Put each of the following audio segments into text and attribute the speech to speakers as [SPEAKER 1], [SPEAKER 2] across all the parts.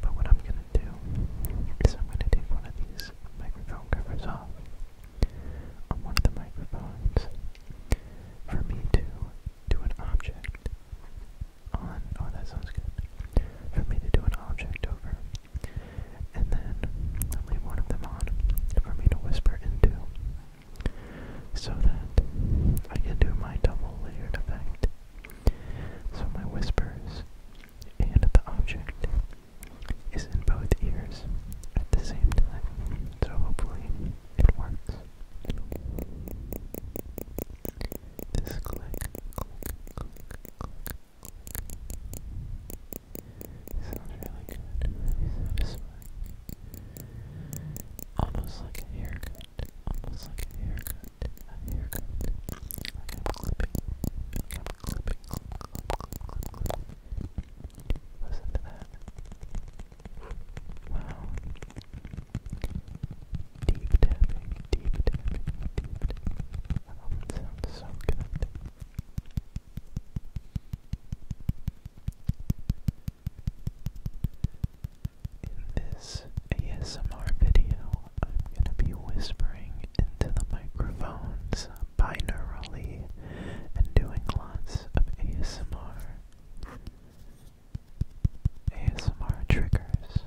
[SPEAKER 1] But what I'm going to do is I'm going to take one of these microphone covers off on one of the microphones for me to do an object on, oh that sounds good, for me to do an object over, and then i one of them on for me to whisper into, so that I can do my double layered effect so my whispers and the object is in both ears at the same time. So it works. This click, sounds really good, Almost like a haircut almost like a haircut, a haircut, I'm clipping, I'm clipping, Wow. Deep tapping, deep tapping, deep that sounds so good. In this ASMR video, I'm going to be whispering into the microphones binaurally and doing lots of ASMR. ASMR triggers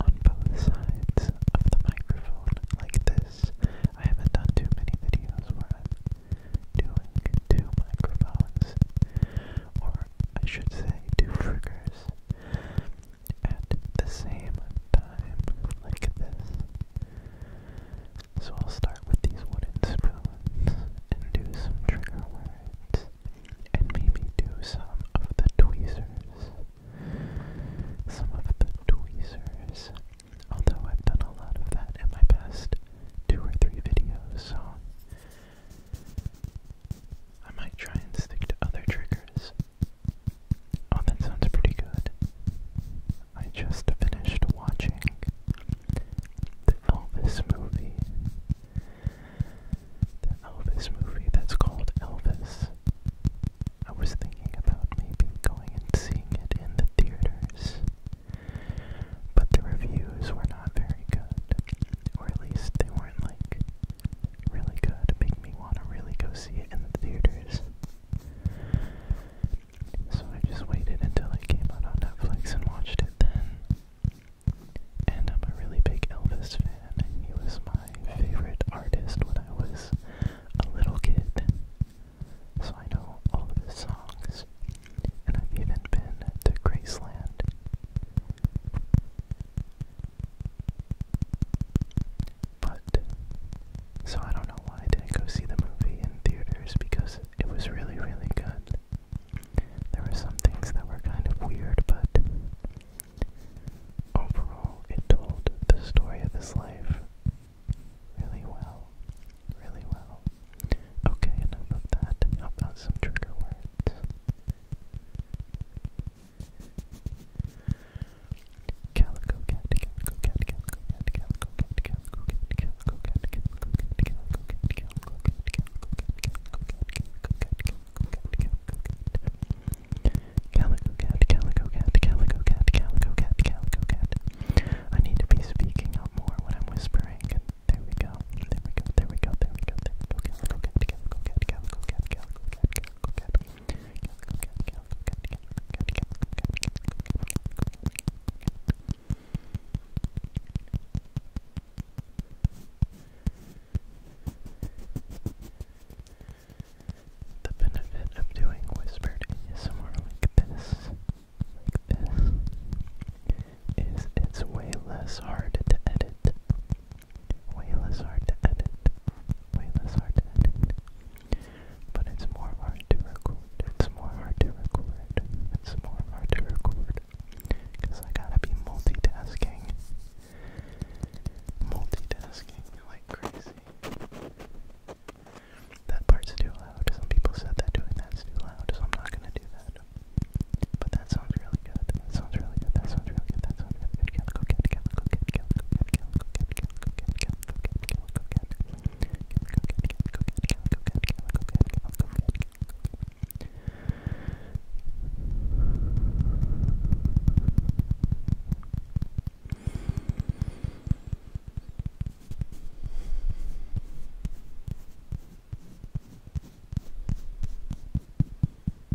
[SPEAKER 1] on both sides of the microphone like this. I haven't done too many videos where I'm doing two microphones, or I should say two triggers at the same time, like this. So I'll start with these wooden spoons and do some trigger words, and maybe do some of the tweezers. Some of the tweezers. Although I've done a lot of that in my past two or three videos, so I might try and stick to other triggers. Oh, that sounds pretty good. I just finished watching the Elvis movie. The Elvis movie that's called Elvis. I was thinking about maybe going and seeing it in the theaters, but the reviews were not very good, or at least they weren't like really good, make me want to really go see it in the theaters. So I just waited until it came out on Netflix and watched it then. And I'm a really big Elvis fan. He was my favorite artist when I was a little kid. So I know all of his songs. And I've even been to Graceland. But, so I don't know why I didn't go see the movie in theaters because it was really, really good. There were some things that were kind of weird, but overall, it told the story of his life really well. Really well. Okay, enough of that. How about some trigger words? Calico cat, calico cat, calico cat, calico cat, calico cat, calico cat, calico cat, calico cat, calico cat, calico cat, calico cat, calico cat, calico cat, calico cat, calico cat, calico cat. I need to be speaking up more when I'm whispering. There we go. There we go. There we go. There we go. There we go. Calico cat, calico cat, calico cat, calico cat, calico cat, calico cat. The benefit of doing whispered somewhere like this, is it's way less hard to edit Way less hard to edit. Way less hard to edit. But it's more hard to record. It's more hard to record. It's more hard to record. Because I gotta be multitasking. Multitasking like crazy. That part's too loud. Some people said that doing that's too loud, so I'm not gonna do that. But that sounds really good. That sounds really good. That sounds really good. That sounds really good. Calico cat, calico cat, calico cat, calico cat, calico cat, calico cat, calico cat, calico cat, calico cat, calico cat, calico cat, calico cat, Calico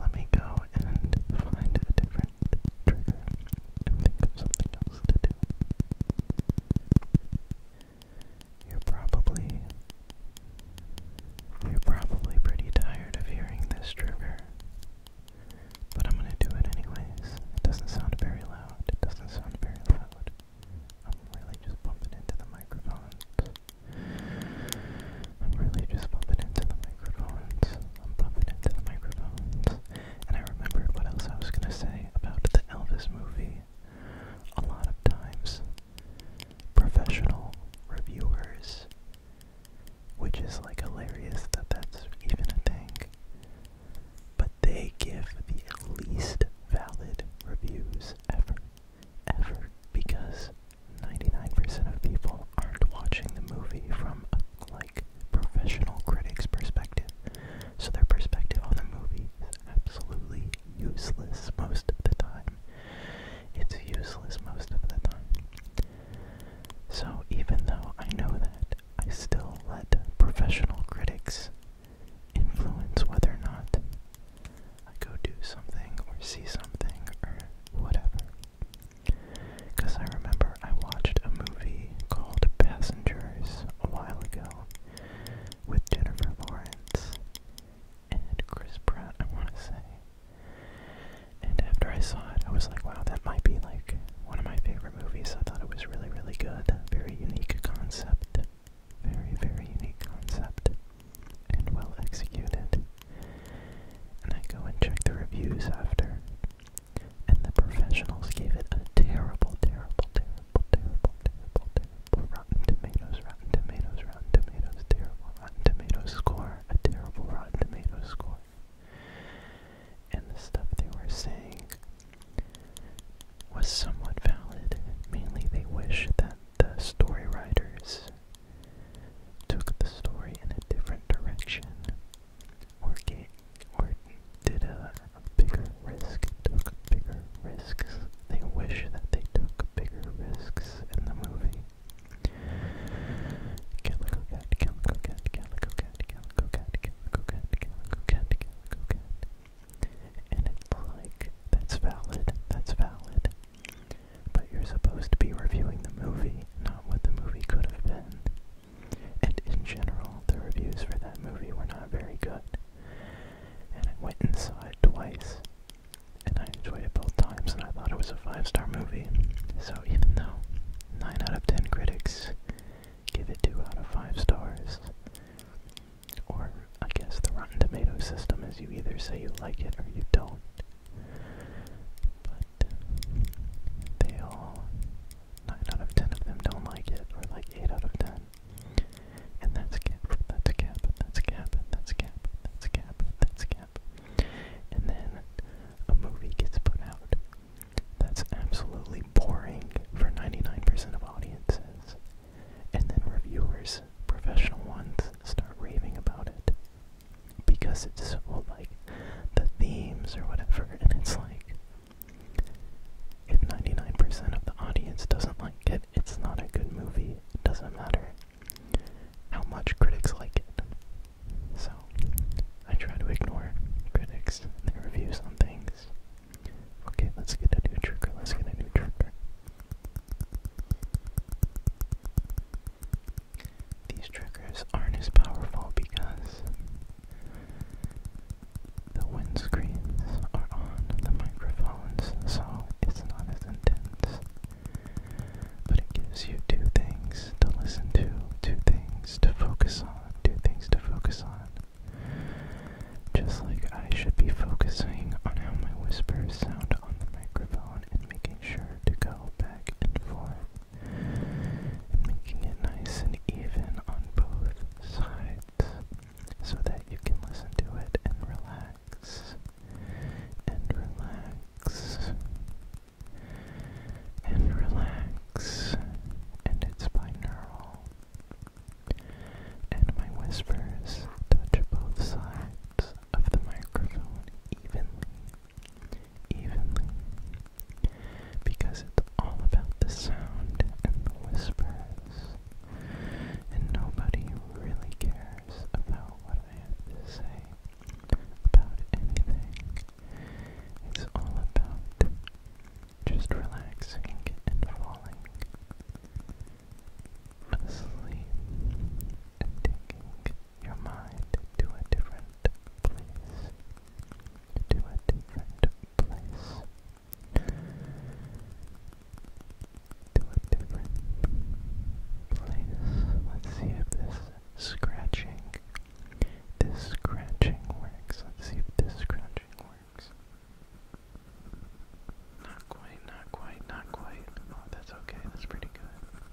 [SPEAKER 1] Let me go and find a different trigger and think of something else to do. You're probably you're probably pretty tired of hearing this trigger. But I'm gonna do it anyways. It doesn't sound very loud. It doesn't sound very loud. I'm really just bumping into the microphone. I'm really just bumping into the microphones. I'm bumping into the microphones. And I remembered what else I was gonna say about the Elvis movie. A lot of times, professional reviewers, which is like hilarious that that's even a thing, but they give the least valid reviews ever, ever, because 99% of people aren't watching the movie from a like professional critic's perspective. So their perspective on the movie is absolutely useless most of the time. It's useless most of the time. So even though I know that, I still let professional critics influence whether or not I go do something or see something or whatever. Because I remember I watched a movie called Passengers a while ago with Jennifer Lawrence and Chris Pratt, I want to say. And after I saw it, I was like, wow, that might be like one of my favorite movies. I thought it was really, really good. Very unique concept. Very, very unique concept. And well executed. And I go and check the reviews after. And the professionals gave it a terrible, terrible, terrible, terrible, terrible, terrible Rotten Tomatoes, Rotten Tomatoes, Rotten Tomatoes, terrible Rotten Tomatoes score, a terrible Rotten Tomatoes score. And the stuff they were saying was somewhat valid. Mainly, they wish that the story writers took the story in a different direction, or did a, bigger risk, took bigger risks. They wish that they took bigger risks in the movie. And it's like, that's valid, that's valid. But you're supposed to be reviewing the movie, not what the movie could have been. And in general, the reviews for that movie were not very good. And I went and saw it twice. And I enjoyed it both times, and I thought it was a five star movie. So even though 9 out of 10 critics give it 2 out of 5 stars, or I guess the Rotten Tomato system is you either say you like it or you don't. But they all, 9 out of 10 of them don't like it, or like 8 out of 10. And that's cap, that's cap, that's cap, that's cap, that's cap, that's cap. And then a movie gets put out that's absolutely boring for 99% of audiences. And then reviewers, professional ones, start raving about it because it's well, like the themes or whatever, and it's like if 99% of the audience doesn't like it, it's not a good movie. It doesn't matter how much critics like it. So I try to ignore critics and reviews on things. Okay, let's get a new trigger. Let's get a new trigger. These triggers aren't as powerful because the wind screens are on the microphones, so it's not as intense. But it gives you two things to listen to, two things to focus on, two things to focus on. Just like I should be focusing on how my whispers sound on the microphone and making sure to go back and forth and making it nice and even on both sides so that you can listen to it and relax and relax and relax and it's binaural and my whispers touch both sides of the microphone evenly evenly because it's all about the sound and the whispers, and nobody really cares about what I have to say about anything. It's all about just relaxing and falling asleep and taking your mind to a different place. To a different place. To a different place. Let's see if this scratching, this scratching works. Let's see if this scratching works. Not quite, not quite, not quite. Oh, that's okay, that's pretty good.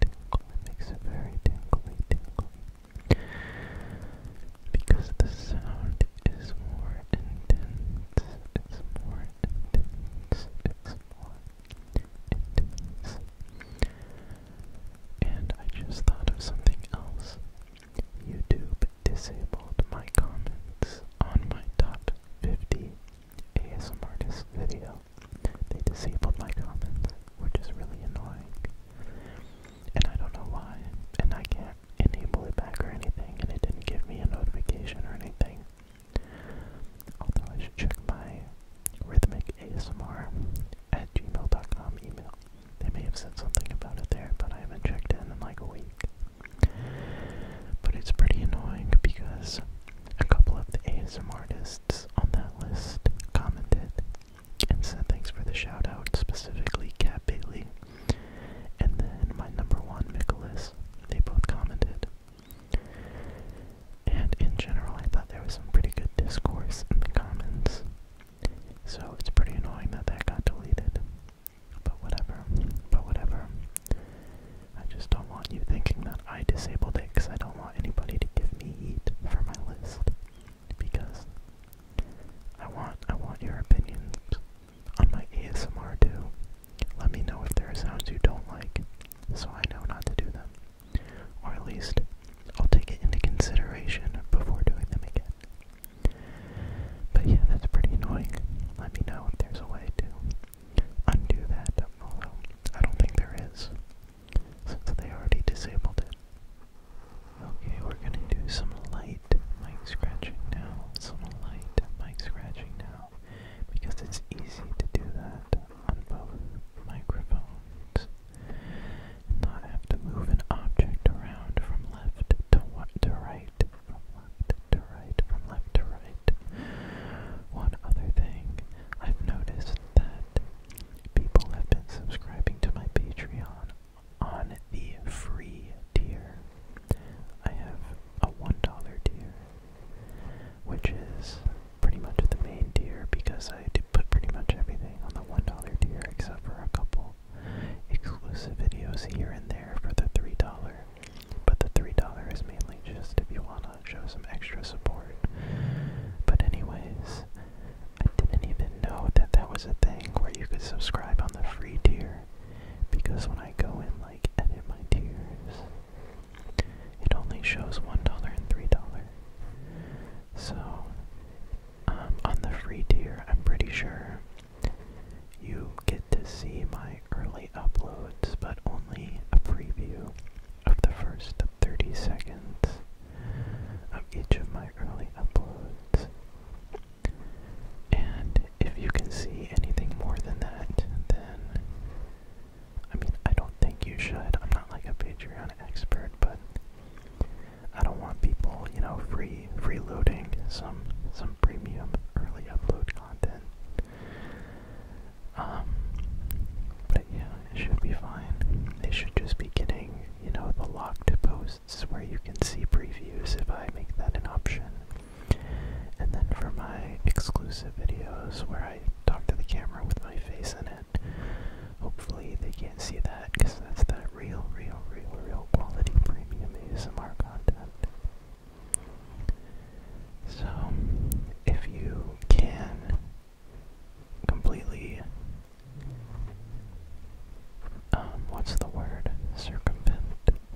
[SPEAKER 1] it makes it very tingly, tingly. Because the sound is more intense. It's more intense. It's more intense. And I just thought of something else. YouTube disabled my comments on my top 50 ASMRtist video. They disabled my comments, which is really annoying. And I don't know why. And I can't enable it back or anything, and it didn't give me a notification or anything. Although I should check my rhythmic ASMR at gmail.com email. They may have said something about it there, but I haven't checked in in like a week. But it's pretty annoying because a couple of the ASMR artists on that list commented and said thanks for the shout out, specifically Cat Bailey and then my number one, Nicholas. They both commented. And in general, I thought there was some pretty good discourse in the comments. So it's pretty annoying that that got deleted. But whatever. But whatever. I just don't want you thinking that I disabled it because I don't don't want anybody to give me heat for my list because I want I want your opinions on my ASMR too. Let me know if there are sounds you don't like so I know not to do them. Or at least I'll take it into consideration before doing them again. But yeah, that's pretty annoying. Let me know if there's a way to undo that, although I don't think there is since they already disabled it. Okay, we're gonna do some light mic scratching now. Some light mic scratching now. Because it's easy to do that on both microphones. Not have to move an object around from left to right. From left to right, from left to right. One other thing, I've noticed that People have been subscribing to my Patreon on the free tier. I have a $1 tier, which is pretty much the main tier because I put pretty much everything on the $1 tier except for a couple exclusive videos here and there for the $3. But the $3 is mainly just if you want to show some extra support. But, anyways, I didn't even know that that was a thing where you could subscribe on the free tier because when I go in like edit my tiers, it only shows $1 and $3. So, um, on the free tier, I'm pretty sure you get to see my early uploads, but only a preview of the first 30 seconds of each of my early uploads. And if you can see anything more than that, then I mean, I don't think you should. I'm not like a Patreon expert, but I don't want people, you know, free freeloading some some premium early upload content. Um, but yeah, it should be fine. They should just be getting, you know, the locked posts where you can see previews if I make that an option. And then for my exclusive videos where I talk to the camera with my face in it, hopefully they can't see that because that's that real, real, real, real quality premium ASMR content. So, if you can completely um, what's the word? Circumvent,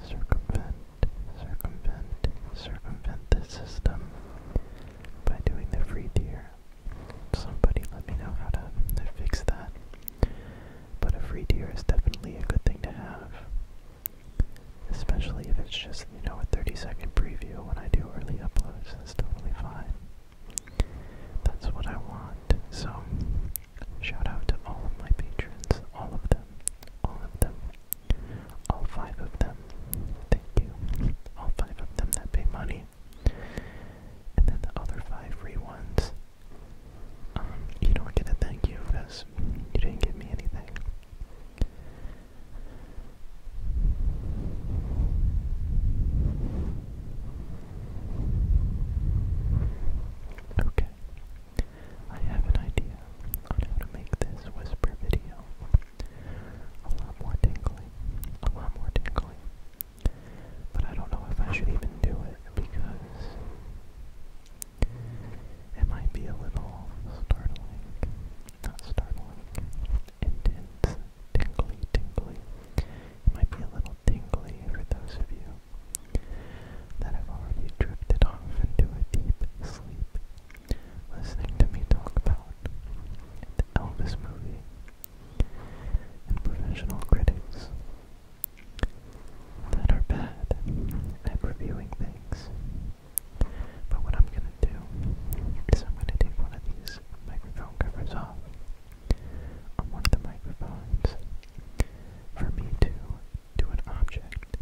[SPEAKER 1] circumvent, circumvent, circumvent the system by doing the free tier. Somebody let me know how to fix that. But a free tier is definitely a good thing to have. Especially if it's just, you know, a 30 second preview when I do early uploads. It's totally fine. That's what I want. So, shout out to all of my patrons, all of them, all of them, all five of them. Thank you. All five of them that pay money. And then the other five free ones. Um, you don't get a thank you because you didn't give me anything. Okay, I have an idea on how to make this whisper video a lot more tingly, a lot more tingly. But I don't know if I should even do it because it might be a little startling. Not startling intense, tingly, tingly. It might be a little tingly for those of you that have already drifted off into a deep sleep listening to me talk about the Elvis movie and professional critics that are bad at reviewing things. But what I'm gonna do is I'm gonna take one of these microphone covers off one of the microphones for me to do an object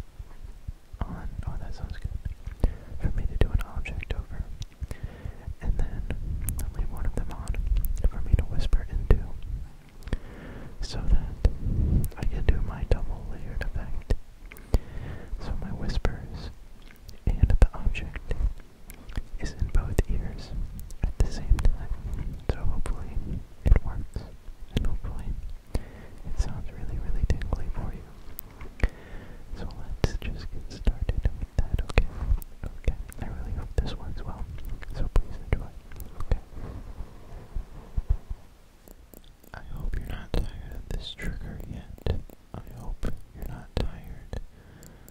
[SPEAKER 1] on, oh that sounds good, for me to do an object over, and then i one of them on for me to whisper into, so that I can do my double layered effect. So my whispers and the object is in both ears at the same time. So hopefully it works. And hopefully it sounds really, really tingly for you. So let's just get started with that, okay? Okay. I really hope this works well. So please enjoy. Okay. I hope you're not tired of this trigger yet. I hope you're not tired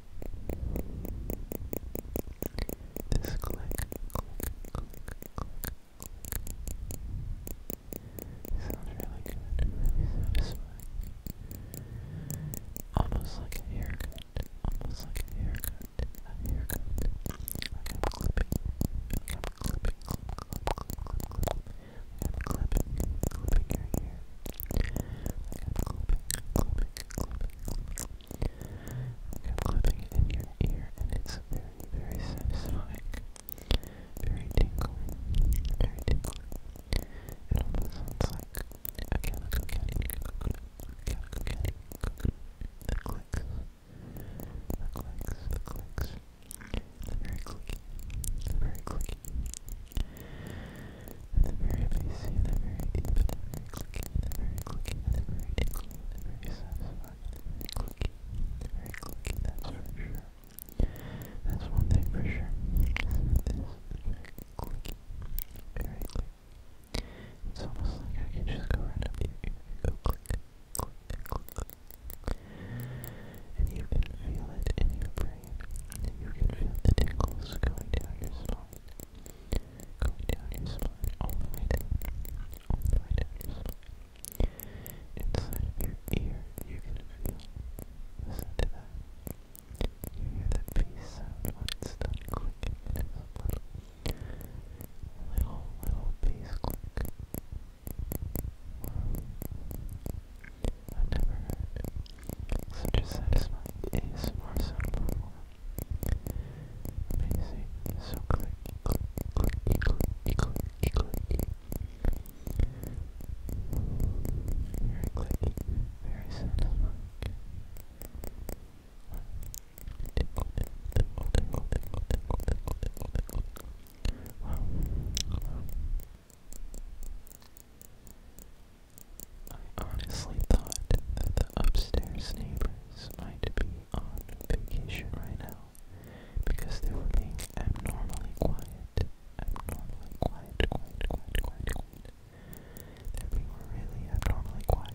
[SPEAKER 1] This click, click, click, click, click. Sounds really good, really satisfying. Almost like a haircut, almost like a haircut, a haircut. Like I'm clipping, like I'm clipping, clip, clip, clip, clip, clip. Like I'm clipping, clipping your hair clipping, clipping, I'm clipping in your ear, and it's very, very satisfying. Very tingling, very tingling. It almost sounds like a calico candy, calico candy, the clicks, the clicks, the clicks. It's very clicky, it's very clicky. At the very basic, the very the very clicking, the very clicking, the very tickling, the very satisfying, the very clicking, the very clicking, that's for sure. That's one thing for sure. This is very clicky. Very clicky. It's almost like I can just go right here go click, click, click, click. And you can feel it in your brain. you can feel the tingles going down your spine. Going down your spine, all the way down, all the way down your spine. Inside of your ear, you can feel, listen to that. You hear that piece sound when it's clicking, it is a little, little, little piece click. I've never heard such as satisfying ASMR sound platform. Amazing. So click, click, click, click, click, click. Very clicky, very satisfying. Tickle, tickle, tickle, tickle, tickle, tickle, tickle, tickle. wow. I honestly thought that the upstairs neighbors might be on vacation right now because they were being abnormally quiet. Abnormally quiet, quiet, quiet, quiet, quiet. They're really abnormally quiet.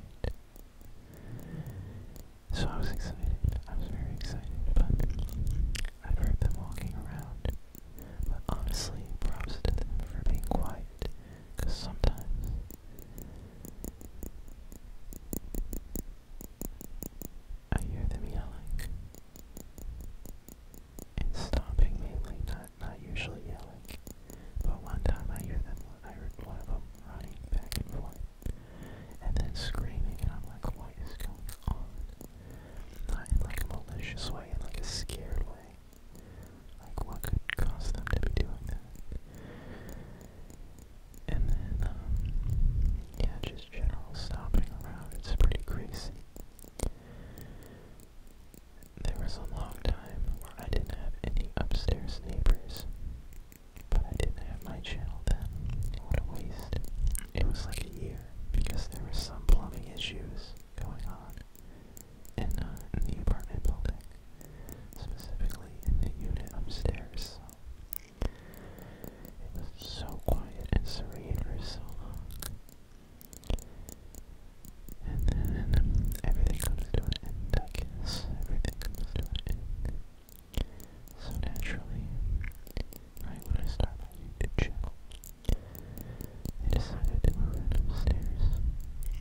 [SPEAKER 1] So I was excited. I was very excited, but i heard them walking around. But honestly, props to them for being quiet because sometimes I hear them yelling and stomping mainly, not not usually yelling. But one time I hear them, I heard one of them running back and forth, and then screaming, and I'm like, what is going on? Not in like a malicious way, in like a scared way. Like, what could cause them to be doing that? And then, um, yeah, just general stomping around. It's pretty crazy. There was a long time where I didn't have any upstairs neighbors, but I didn't have my channel then. What a waste. It was like a year because there were some plumbing issues going on uh, in, the apartment building, specifically in the unit upstairs. So it was so quiet and serene for so long. And then everything comes to an end, I guess. Everything comes to an end. So naturally, right when I started my YouTube channel, I decided to move upstairs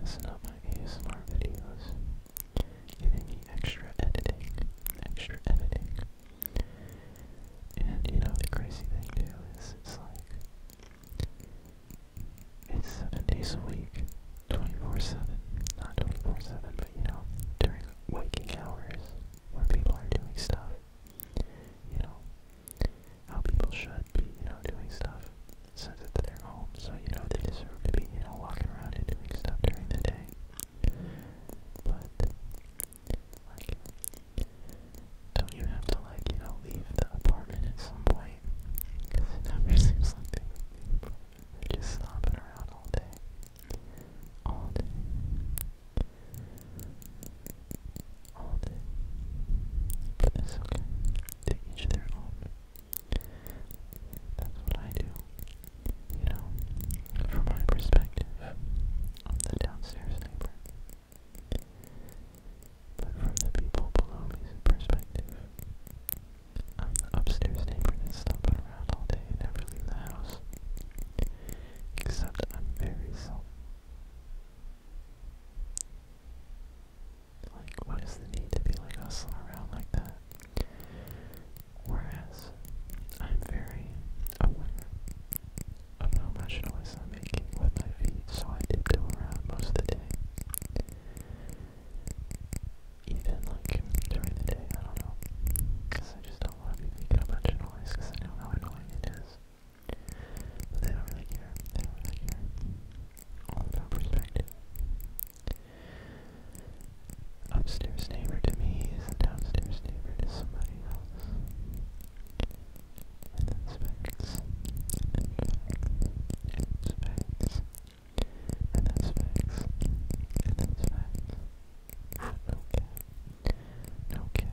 [SPEAKER 1] messing up my ASMR videos, getting me extra editing, extra editing. And you know, the crazy thing too is it's like, it's seven days a week, 24-7, not 24-7, but you know, during waking hours where people are doing stuff, you know, how people should be, you know, doing stuff since it's their home. So, you know, they deserve to be, you know, walking around and doing stuff during the day. But, don't you have to, like, you know, leave the apartment at some point? Because it never seems like they are just stomping around all day. All day. All day. But it's okay. To each their own. That's what I do. You know, from my perspective, I'm the downstairs neighbor. But from the people below me's perspective, I'm the upstairs neighbor that's stomping around all day and never leave the house. Except I'm very self like, what is the need to be like hustling around like that? Whereas, I'm very aware of how much noise I'm making with my feet, so I didn't tiptoe around most of the day. Even like during the day, I don't know, because I just don't want to be making a bunch of noise because I know how annoying it is. But they don't really care all about perspective. Upstairs neighbor to me is a downstairs neighbor to somebody else. And then specs, and facts, and specs, and then specs, and then specs. No cap. No cap.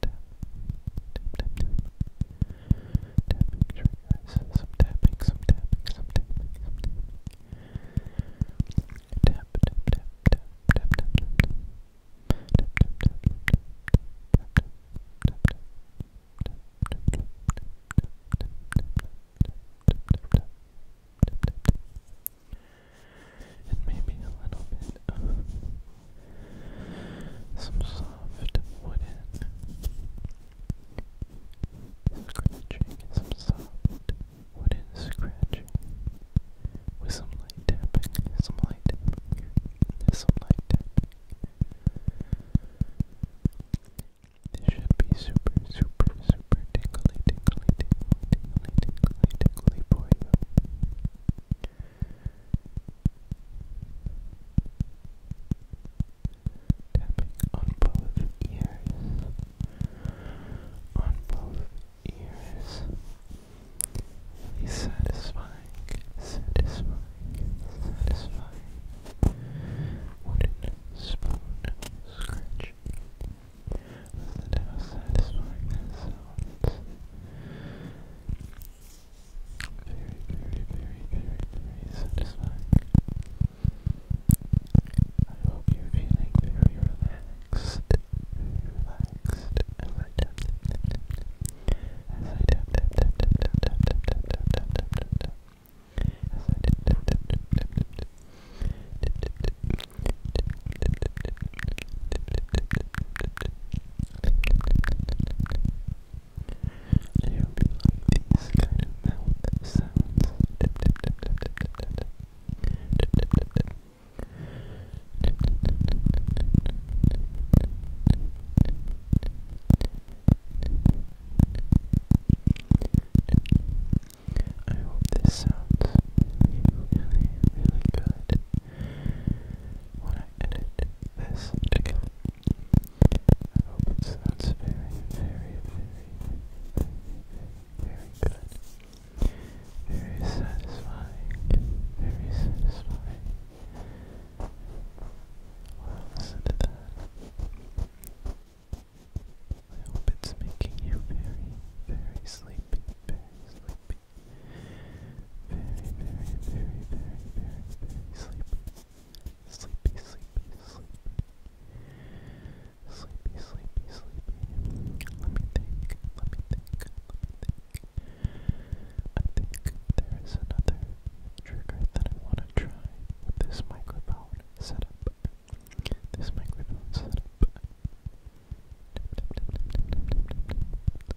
[SPEAKER 1] tap, tap, tap, tapping triggers, some tapping, some tapping, some tapping, some tapping, tap, tap, tap, tap, tap, tap, tap, tap. And maybe a little bit of some soft wooden scratching, some soft wooden scratching with some light tapping, some light some light tapping. This should be super, super, super tingly, tingly, tingly, tingly, tingly, tingly for Tapping on both ears. On both ears. satisfying, satisfying, satisfying. Wooden spoon scratch. Listen to how satisfying very, very, very, very, very satisfied. I hope you're feeling very relaxed, I hope you kind of sounds. I hope this sounds really, really good I edit this again. I hope it sounds very, very, very, very, very good. Very satisfying. Very satisfying. Well, listen to that. I hope it's making you very, very sleepy, very sleepy, very, very, very, very, very, very sleepy. Sleepy, sleepy, sleepy. Sleepy, sleepy, sleepy. Let me think, let me think, let me think. I think there is another trigger that I want to try with this microphone setup. This microphone setup. Tap, tap, tap, tap, tap, tap, tap, tap.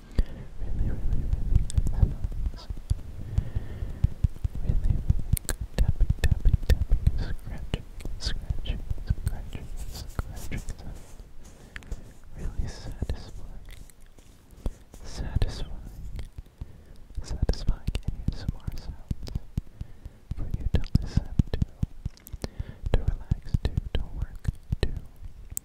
[SPEAKER 1] really, really, really relax. Really, really tapping, tapping, tapping, scratching, scratching, scratching, scratching. Sound. Really satisfying, satisfying, satisfying ASMR sounds for you to listen to, to relax to, to work to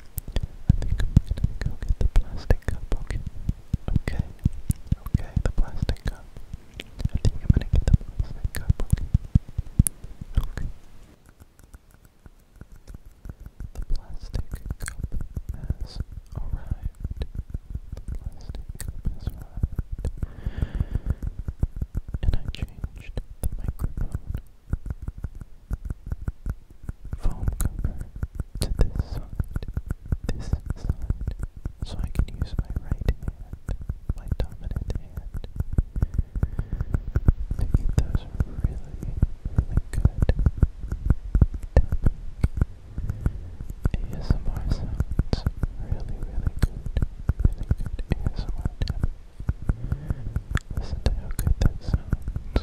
[SPEAKER 1] I think I'm gonna get the plastic cup, okay? Okay, the plastic cup. I think I'm gonna get the plastic cup, okay? The plastic cup has arrived. The plastic cup has arrived. And I changed the microphone foam cover to this side, this side, so I can use my right hand, my dominant hand, to get those really, really good ASMR sounds, really, really good, really good ASMR Listen to how good that sounds.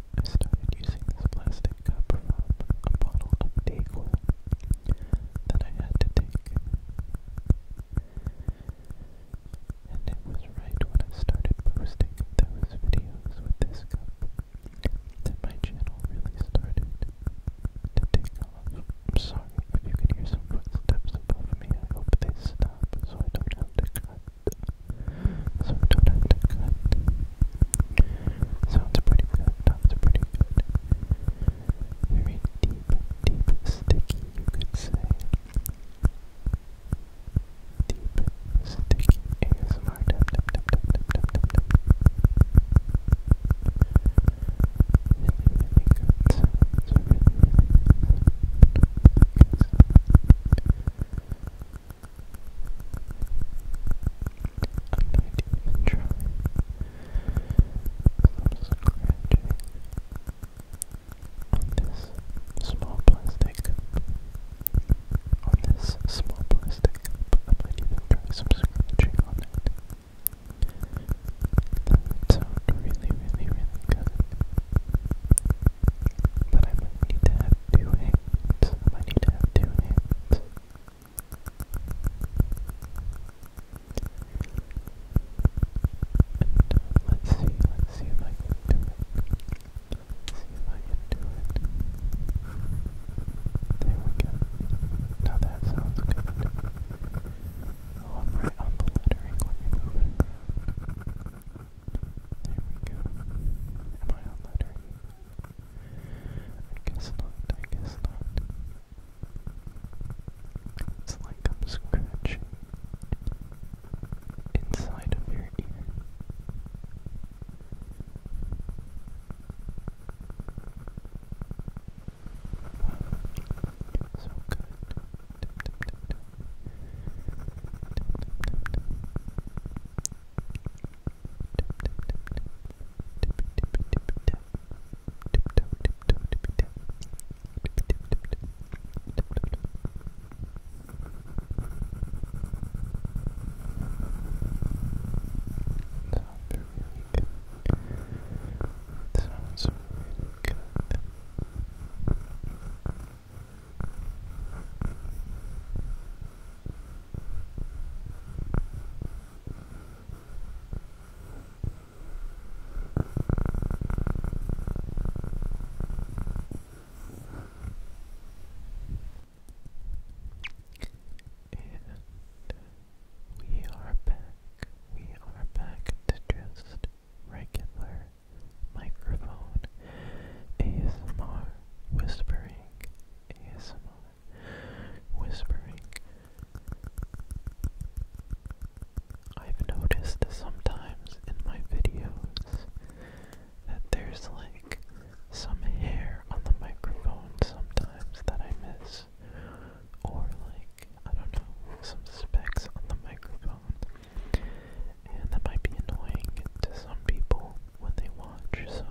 [SPEAKER 1] I started using this plastic cup from a bottle of Dayquil that I had to take. And it was right when I started posting those videos with this cup that my channel really started to off. I'm sorry if you can hear some footsteps above me. I hope they stop so I don't have to cut. Sounds pretty good. Sounds pretty good. Very deep, deep, sticky, you could say. Deep, sticky ASMR. Tap, I'm not even trying. i scratching on this small plastic On this small plastic cup. I might even try some scratching on it. That would really, really, really good. But I need to have two I need to have two uh, let's see, see if I can do it. see if I can do it. that sounds good. Oh, i on the lettering. Let me move it around. There we go. Am I on lettering? I guess not, I guess not. It's like I'm scratching inside of your ear. So good. Sounds really good we are back. We are back to just regular microphone ASMR. Whispering ASMR. Whispering. i noticed sometimes in my videos that there's like some hair on the microphone sometimes that I miss. Or like, I don't know, some specks on the microphone. And that might be annoying to some people when they watch, so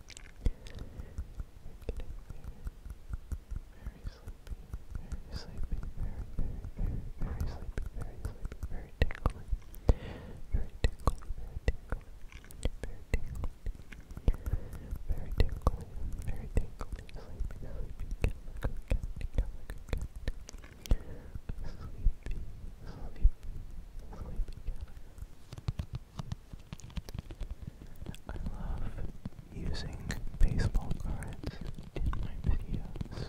[SPEAKER 1] Very sleepy, very sleepy, very, very, very, sleepy, very sleepy, very tingly, very tingly, very tingly, very tingly, very tingly, very tingly, sleepy, sleepy, sleepy, sleepy, I love using baseball cards in my videos.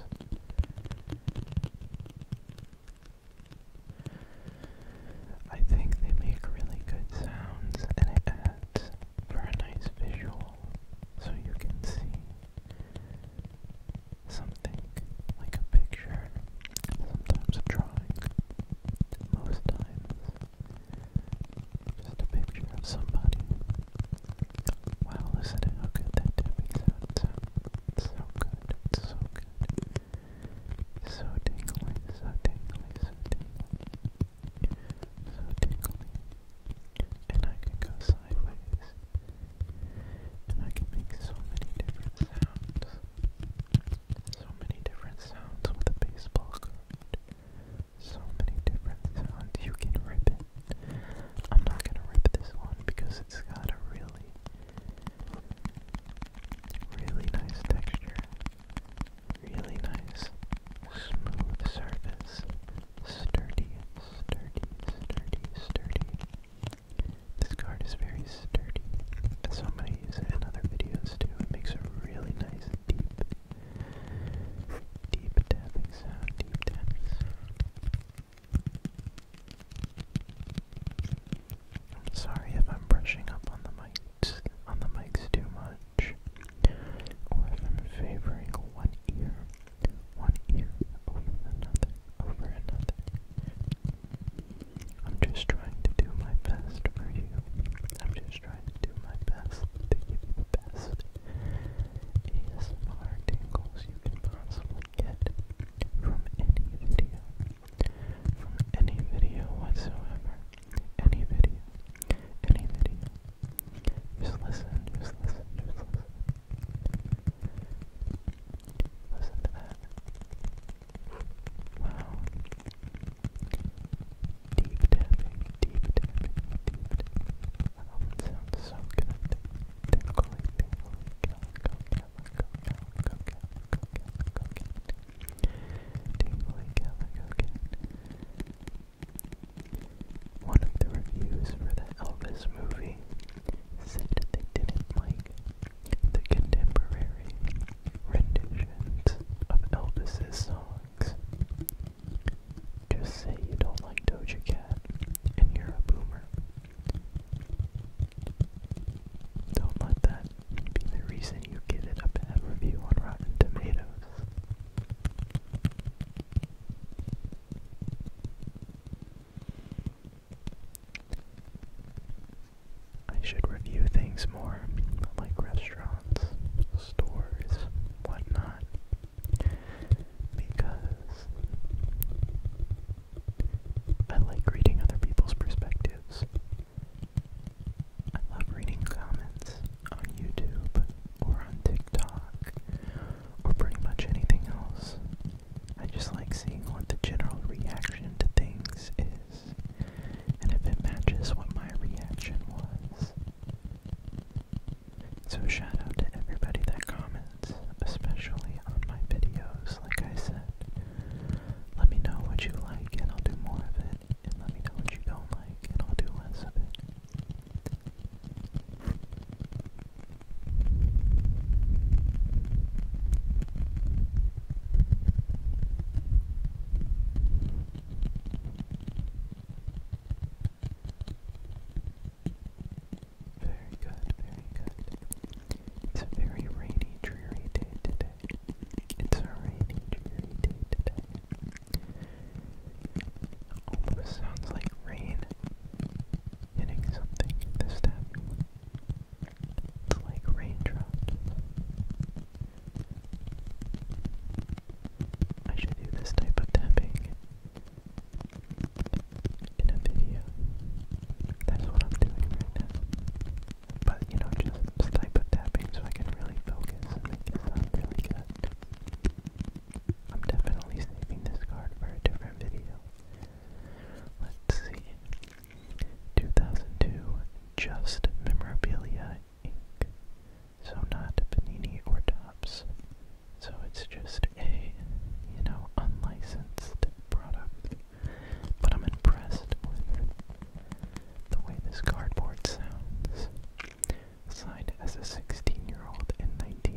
[SPEAKER 1] I think they make really good sounds and it adds for a nice visual so you can see something like a picture, sometimes a drawing, most times. Just a picture of somebody. Wow, listen to how good that tapping sound sounds. So good, it's so good. So tingly, so tingly, so tingly. So tingly. And I can go sideways. And I can make so many different sounds. So many different sounds with a baseball card. So many different sounds. You can rip it. I'm not gonna rip this one because it's got a really, really nice texture. Really nice, smooth surface. Sturdy, sturdy, sturdy, sturdy. This card is very sturdy, as so many use it in other videos this too. It makes a really nice deep, deep tapping sound, deep tapping I'm sorry if I'm brushing up on the mics, on the mics too much, or if I'm favoring one ear, one ear over another, over another. I'm just trying to do my best for you. I'm just trying to do my best to give you the best ASMR tingles you can possibly get from any video. From any video whatsoever. Any video. Any video. Just listen, just listen, just listen. Listen to that. Wow. Deep diving, deep diving, deep diving. Um, it sounds so good. Tickly, tickly, go, go, go, go, go, go, go, go, go, go, Tickly, go, go, go. One of the reviews for the Elvis movie said they didn't like the contemporary renditions of Elvis's songs. Just say you don't like Doja Cat and you're a boomer. Don't let that be the reason you give it a bad review on Rotten Tomatoes. I should review things more, like restaurants, stores, whatnot, because I like reading other people's perspectives. I love reading comments on YouTube or on TikTok or pretty much anything else. I just like seeing what the general reaction to things is is, and if it matches what my reaction was. So shout out to everybody that comments, especially on my videos, like I said. Let me know what you like and I'll do more of it, and let me know what you don't like and I'll do less of it. Very good, very good. It's a very rainy, dreary day today. It's a rainy, dreary day today. Almost sounds like rain hitting something this time. It's like raindrops I should do this type of tapping in a video. That's what I'm doing right now. But, you know, just this type of tapping so I can really focus and make really good. I'm definitely saving this card for a different video. Let's see. 2002 Just Memorabilia so not Panini or Tops. So it's just a, you know, unlicensed product. But I'm impressed with the way this cardboard sounds. Signed as a 16-year-old in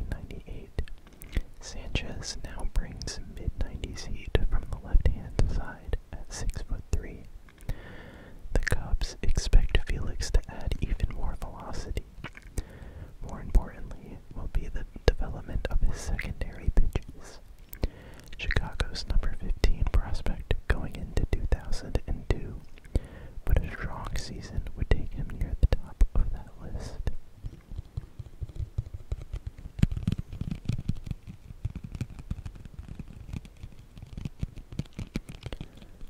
[SPEAKER 1] 1998, Sanchez now brings mid-90s heat from the left-hand side at 6'3", the Cubs expect Felix to add even more velocity. More importantly, will be the development of his secondary pitches. Chicago's number 15 prospect going into 2002, but a strong season would take him near the top of that list.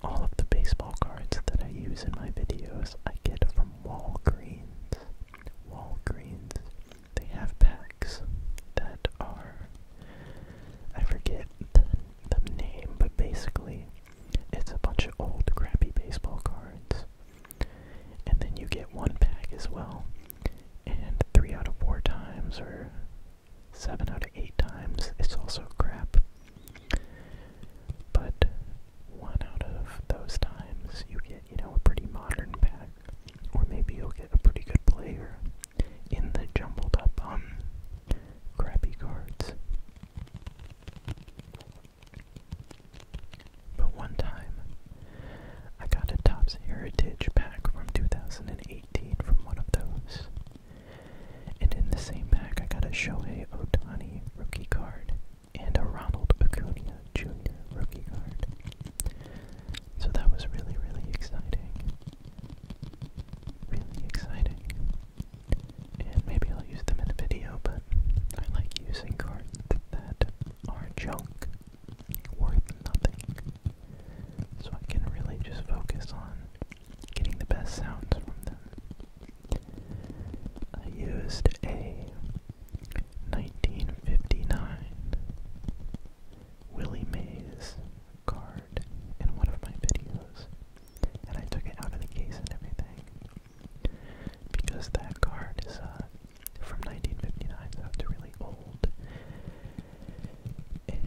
[SPEAKER 1] All of the baseball cards that I use in my videos I get from Walgreens. Walgreens. They have packs that are. I forget the, name, but basically it's a bunch of old crappy baseball cards. And then you get one pack as well. And three out of four times, or 7 out of 8 times it's also crap. But 1 out of those times you get, you know, a pretty modern pack. Or maybe you'll get a pretty good player in the jumbled up, um, crappy cards. But one time, I got a Topps Heritage pack from 2018 from one of those. And in the same pack, I got a Shohei Otani rookie card and a Ronald Acuna Jr. rookie card. So that was really, really exciting. Really exciting. And maybe I'll use them in a video, but I like using cards that are junk, worth nothing. So I can really just focus on getting the best sounds from them. I used a 1959 Willie Mays card in one of my videos, and I took it out of the case and everything because that card is uh, from 1959, so it's really old. And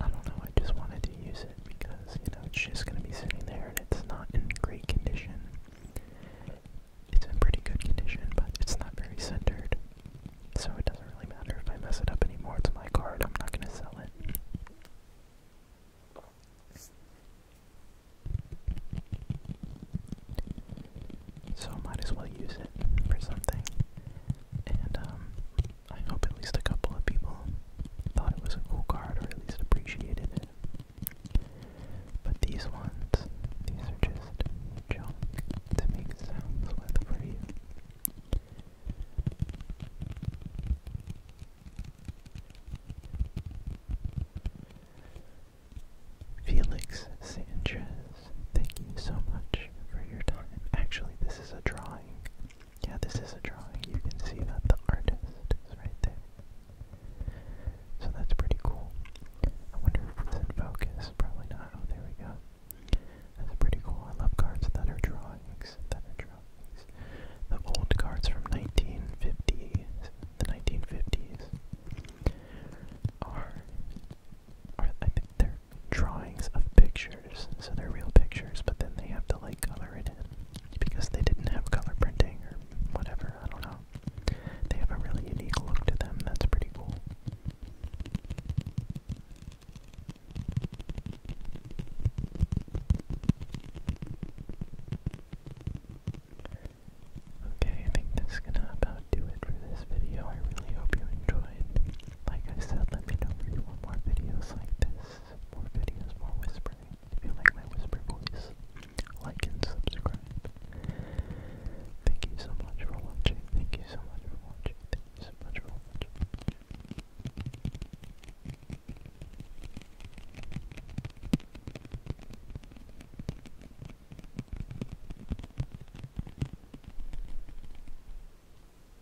[SPEAKER 1] I don't know, I just wanted to use it because, you know, it's just gonna be sitting there and it's not in great condition. It's in pretty good condition, but it's not very centered. So it doesn't really matter if I mess it up anymore. It's my card, I'm not gonna sell it. So I might as well use it for something. And um I hope at least a couple of people thought it was a cool card or at least appreciated it. But these ones, these are just junk to make sounds with for you. Felix Sanchez, thank you so much for your time. Actually, this is a drawing yeah, this is a drawing. You can see that the artist is right there. So that's pretty cool. I wonder if it's in focus. Probably not. Oh, there we go. That's pretty cool. I love cards that are drawings. That are drawings. The old cards from 1950s, the 1950s, are, are I think they're drawings of pictures, so they're real pictures, but then they have to like color it in because they didn't have color printing or whatever, I don't know. They have a really unique look to them, that's pretty cool. Okay, I think that's gonna about do it for this video. I really hope you enjoyed. Like I said, let me know if you want more videos like this. More videos, more whispering. If you like my whisper voice, like and subscribe. Thank you so much for watching. Thank you so much for watching. Thank you so much for watching.